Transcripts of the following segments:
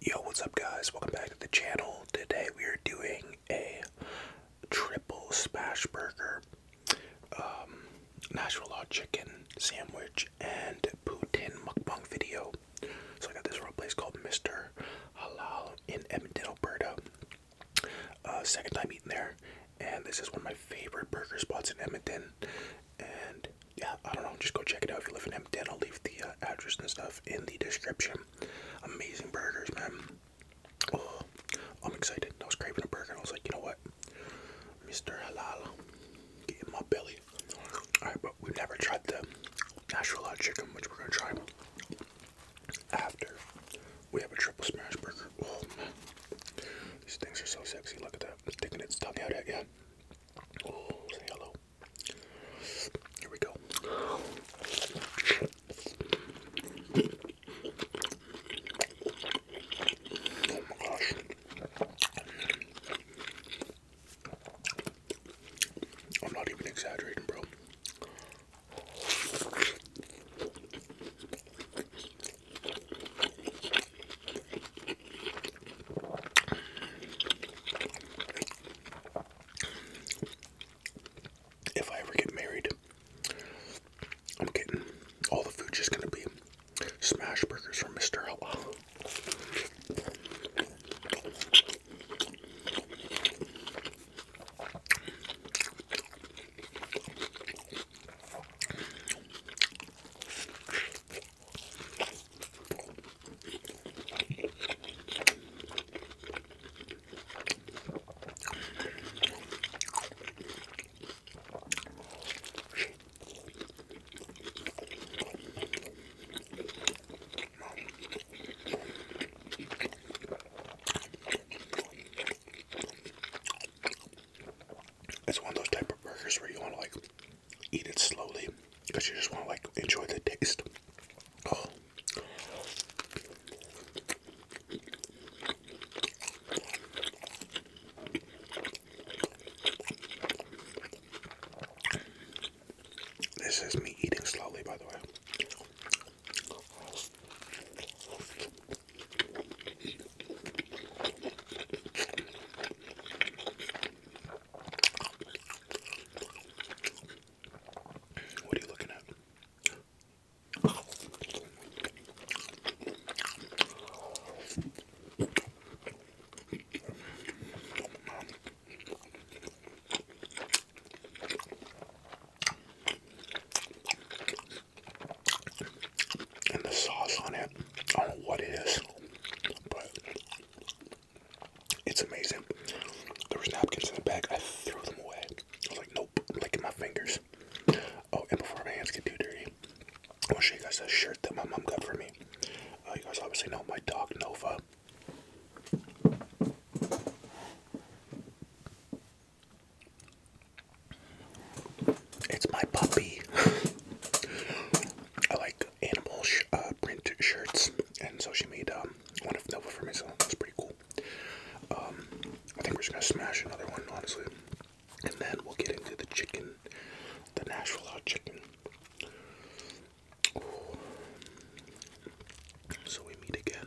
Yo, what's up guys? Welcome back to the channel. Today we are doing a triple smash burger, um, Nashville Law chicken sandwich, and poutine mukbang video. So I got this from a place called Mr. Halal in Edmonton, Alberta. Uh, second time eating there, and this is one of my favorite burger spots in Edmonton. And yeah, I don't know. Just go check it out if you live in Hampton. I'll leave the uh, address and stuff in the description. Amazing burgers, man. Oh, I'm excited. I was craving a burger, I was like, you know what, Mr. Halal, get in my belly. All right, but we've never tried the Nashville hot chicken, which we're gonna try after we have a triple smash burger. Oh, these things are so sexy. Look at that, sticking its tongue out at you. Oh, say hello. Here we go. I'm not even exaggerating, bro if I ever get married, I'm getting all the food just gonna be smash burgers from Mr. Hello. It's one of those type of burgers where you want to like eat it slowly because you just want to like enjoy the taste. This is me eating slowly, by the way. What are you looking at? And the sauce on it, I don't know what it is, but it's amazing. There was napkins in the bag. I threw them away. I was like, nope, I'm licking my fingers. Oh, and before my hands get too dirty, I want to show you guys a shirt that my mom got for me. Uh, you guys obviously know my dog Nova. It's my puppy. I like animal uh, print shirts, and so she made um, one of Nova for me, that's pretty cool. Um, I think we're just gonna smash another one, honestly, and then we'll get into the chicken, the Nashville hot chicken. So we meet again.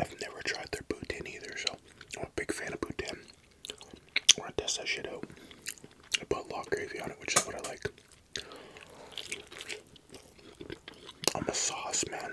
I've never tried their Bhutan either, so I'm a big fan of Bhutan want to test that shit out. I put lot gravy on it, which is what I like. I'm a sauce man.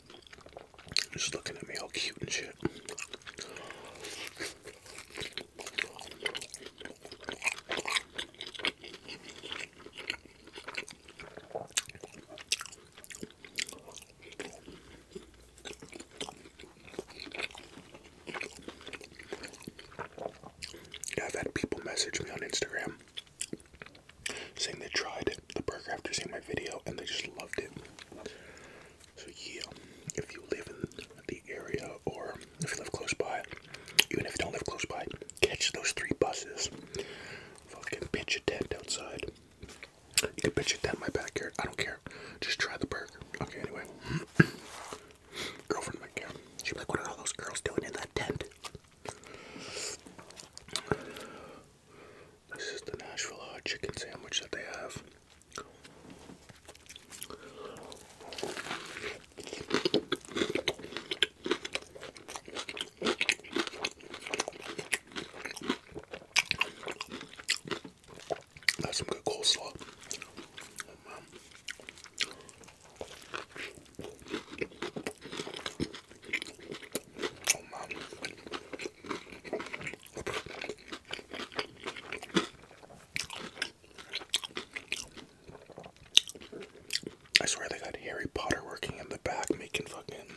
Just looking at me all cute and shit. I've had people message me on Instagram saying they tried the burger after seeing my video and they just loved it. So yeah, if you live in the area or if you live close by, even if you don't live close by, catch those three buses. Fucking pitch a tent outside. You can pitch a tent in my backyard. I don't care. Just try the burger. Okay, anyway. Girlfriend might care. She'd be like, what are all those girls doing in that tent? This is the Nashville uh, chicken sandwich that they have. That's some good coleslaw. Oh, oh, I swear they got Harry Potter working in the back making fucking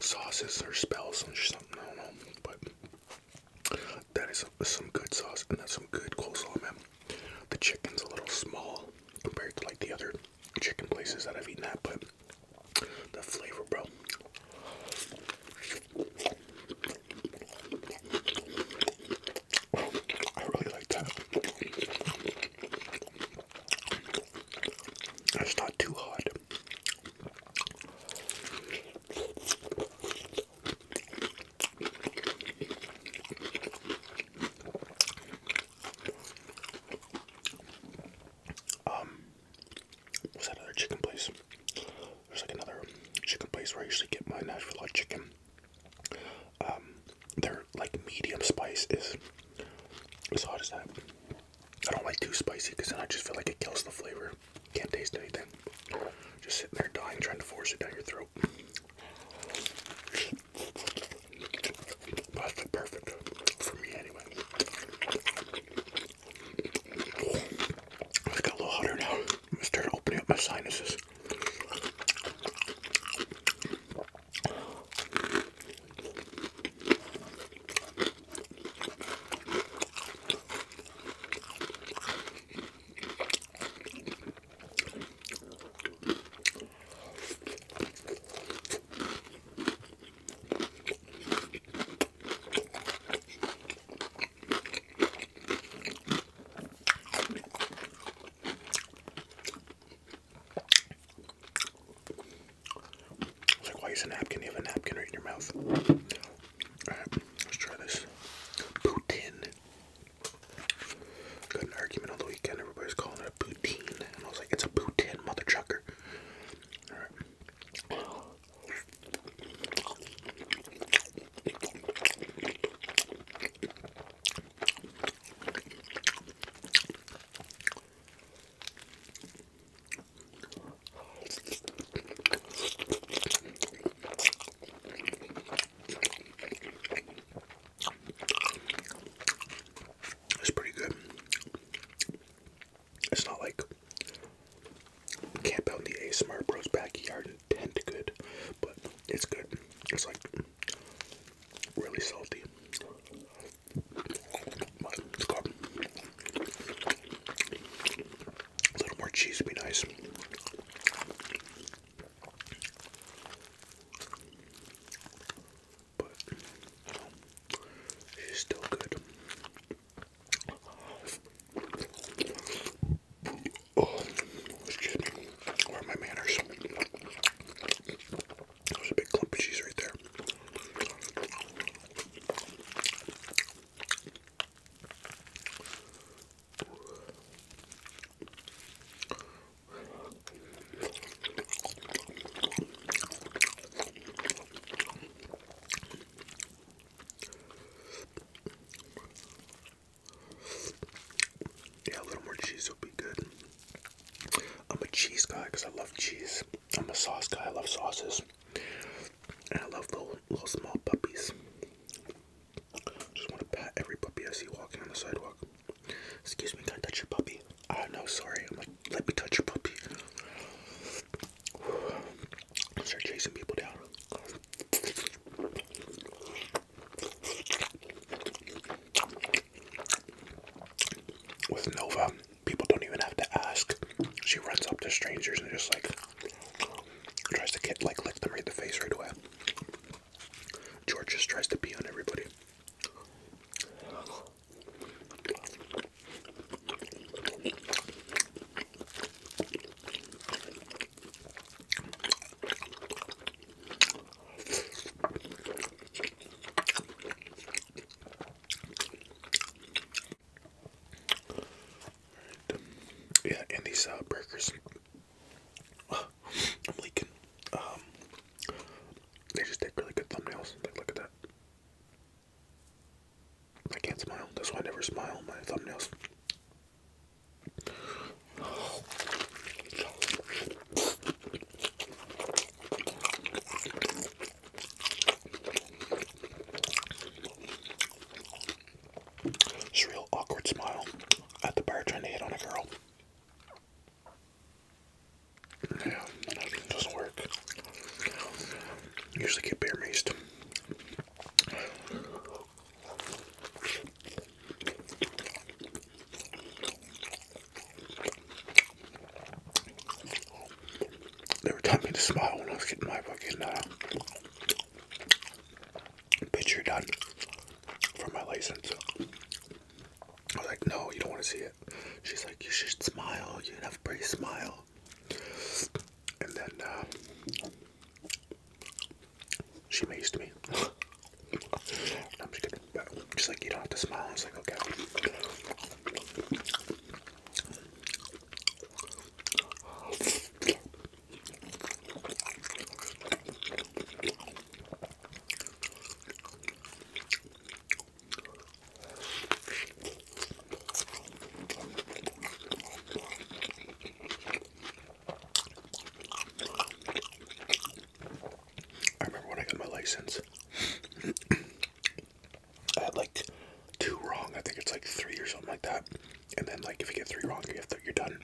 sauces or spells or something. I don't know, but that is some good sauce and that's some good coleslaw, man. The chicken's a little small compared to like the other chicken places that I've eaten at, but the flavor, bro. I really like that. That's not too hot. Um, what's that other chicken place? There's like another chicken place where I usually get my Nashville hot chicken. Um, they're like medium spice is as hot as that. I don't like too spicy because then I just feel like it kills the flavor. Can't taste anything. Just sitting there dying, trying to force it down your throat. That's perfect for me anyway. It's got a little hotter now. I started opening up my sinuses. It's like, why use a napkin? You have a napkin right in your mouth. Alright, let's try this. Poutine. Got an argument on the weekend. Everybody's calling it a poutine. And I was like, it's a poutine, mother trucker. Alright. It's pretty good. It's not like camp out in the A Smart Bros backyard tent good, but it's good. It's like really salty. But it's a little more cheese would be nice but she's still good. Oh, Where are my manners? There's a big clump of cheese right there. Yeah, a little more cheese would be good. I'm a cheese guy because I love cheese. I'm a sauce guy. I love sauces. And I love little, little small puppies. Just want to pat every puppy I see walking on the sidewalk. Excuse me, can I touch your puppy? Ah, oh, no, sorry. let me touch your puppy. Start chasing people down. With Nova, people don't even have to ask. She runs up to strangers and just like tries to get like lick them right the face right away. George just tries to pee on everybody. Yeah, and these uh, burgers, uh, um, they just take really good thumbnails. Like, look at that. I can't smile. That's why I never smile my thumbnails. It's a real awkward smile at the bar trying to hit on a girl. Yeah, doesn't work. Usually get bear maced. They were telling me to smile when I was getting my fucking uh, picture done for my license. I was like, no, you don't want to see it. She's like, you should smile. You have a pretty smile. And then uh, she mazed me. I'm just kidding. Just like you don't have to smile. i It's like okay. I remember when I got my license. I had like two wrong. I think it's like three or something like that. And then like if you get three wrong, you have to, you're done.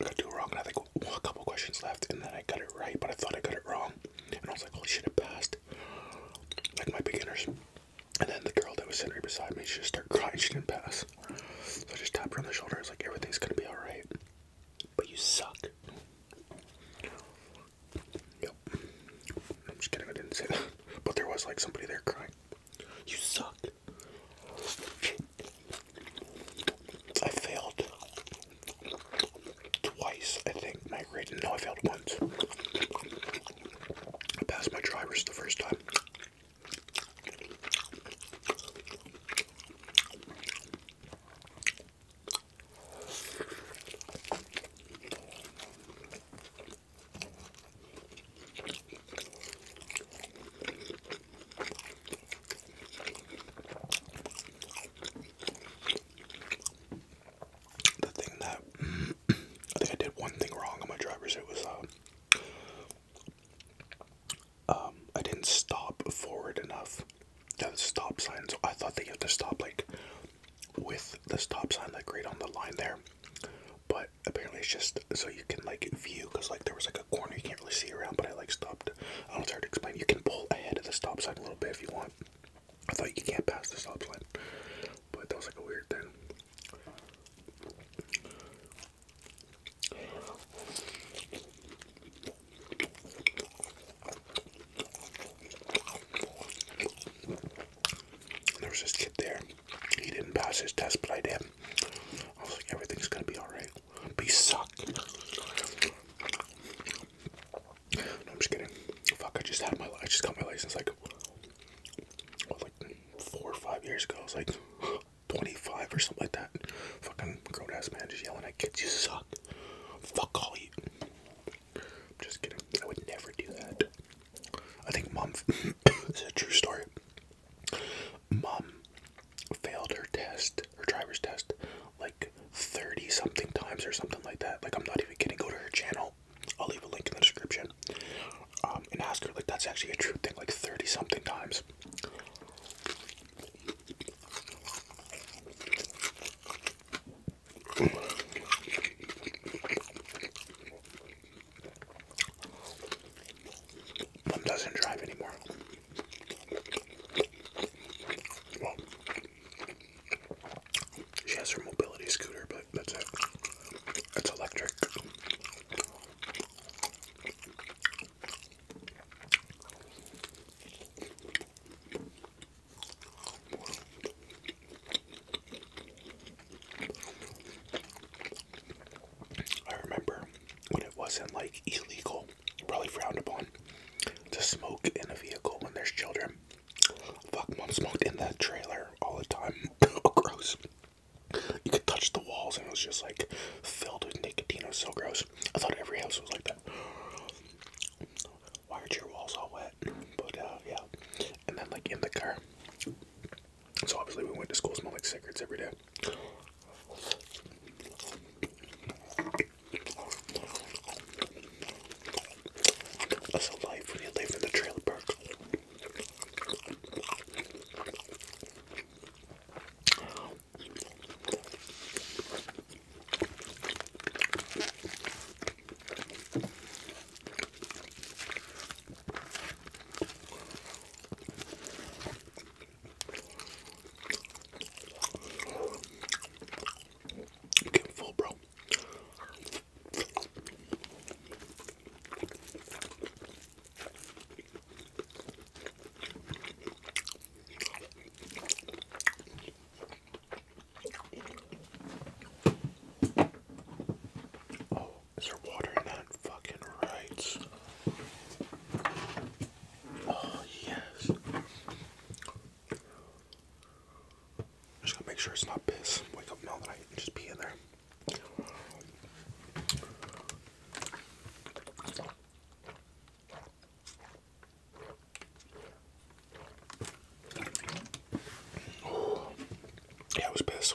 I got two wrong, and I think well, a couple questions left, and then I got it right. But I thought I got it wrong and I was like, "Oh, shit, it passed. Like my beginners. And then the girl that was sitting right beside me, she just started crying. She didn't pass. So I just tapped her on the shoulder. I was like, everything's gonna be alright. But you suck. Yep. I'm just kidding. I didn't say that. But there was like somebody there crying. You suck. I failed twice, I think, my rating. No, I failed once. I passed my drivers the first time. The thing that mm, I think I did one thing wrong on my driver's. It was uh, um, I didn't stop forward enough. Yeah, the stop sign. So I thought that you have to stop like with the stop sign, like right on the line there. But apparently it's just so you can like view, cause like there was like a corner you can't really see around. But I like stopped. I don't know, it's to explain. You can pull ahead of the stop sign a little bit if you want. I thought you can't pass the stop sign, but that was like a weird thing. There was this kid there. He didn't pass his test, but I did. I was like, everything's gonna be alright. Be suck. No, I'm just kidding. Fuck, I just had my I just got my license like like four or five years ago. I was like 25 or something like that. Fucking grown ass man just yelling at kids, you suck. Fuck all you. I'm just kidding. I would never do that. I think mom this is a true story. Mom failed her test, her driver's test, like 30 something times or something like that. Like I'm not even kidding. Go to her channel I'll leave a link in the description. Um, and ask her, like, that's actually a true thing, like 30 something times. Mom doesn't drive anymore. She has her mobility scooter, but that's it. It's electric. I remember when it wasn't like illegal, probably frowned upon, to smoke in a vehicle when there's children. Fuck, mom smoked in that trailer all the time. oh, gross. You could touch the walls and it was just like filled with nicotine. It was so gross. I thought every house was like that. Why aren't your walls all wet? But uh, yeah. And then like in the car. So obviously we went to school smelling like cigarettes every day. That's a life when you live in the trailer park. Get full, bro. Oh, is there water in Fucking right. Oh, yes. Just gotta make sure it's not piss. Wake up in the middle just pee in there. yeah, it was piss.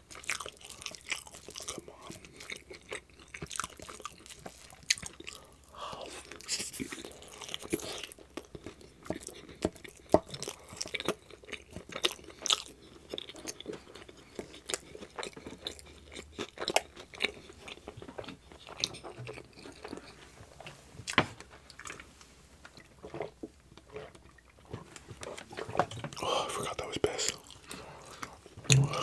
Oh, I forgot that was piss. Alright,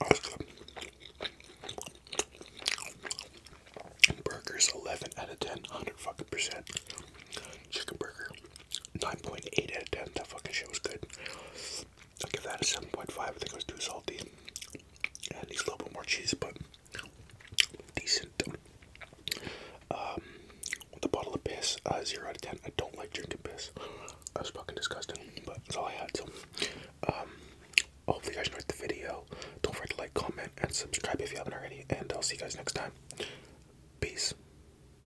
awesome. Burgers 11 out of 10, fucking percent. Chicken burger 9.8 out of 10. That fucking shit was good. I'll give that a 7.5. I think it was too salty. And needs a little bit more cheese, but decent. Um, the bottle of piss, uh, 0 out of 10. I don't like drinking piss. That was fucking disgusting, but that's all I had. So, um, hopefully, you guys enjoyed the video. Don't forget to like, comment, and subscribe if you haven't already. And I'll see you guys next time. Peace.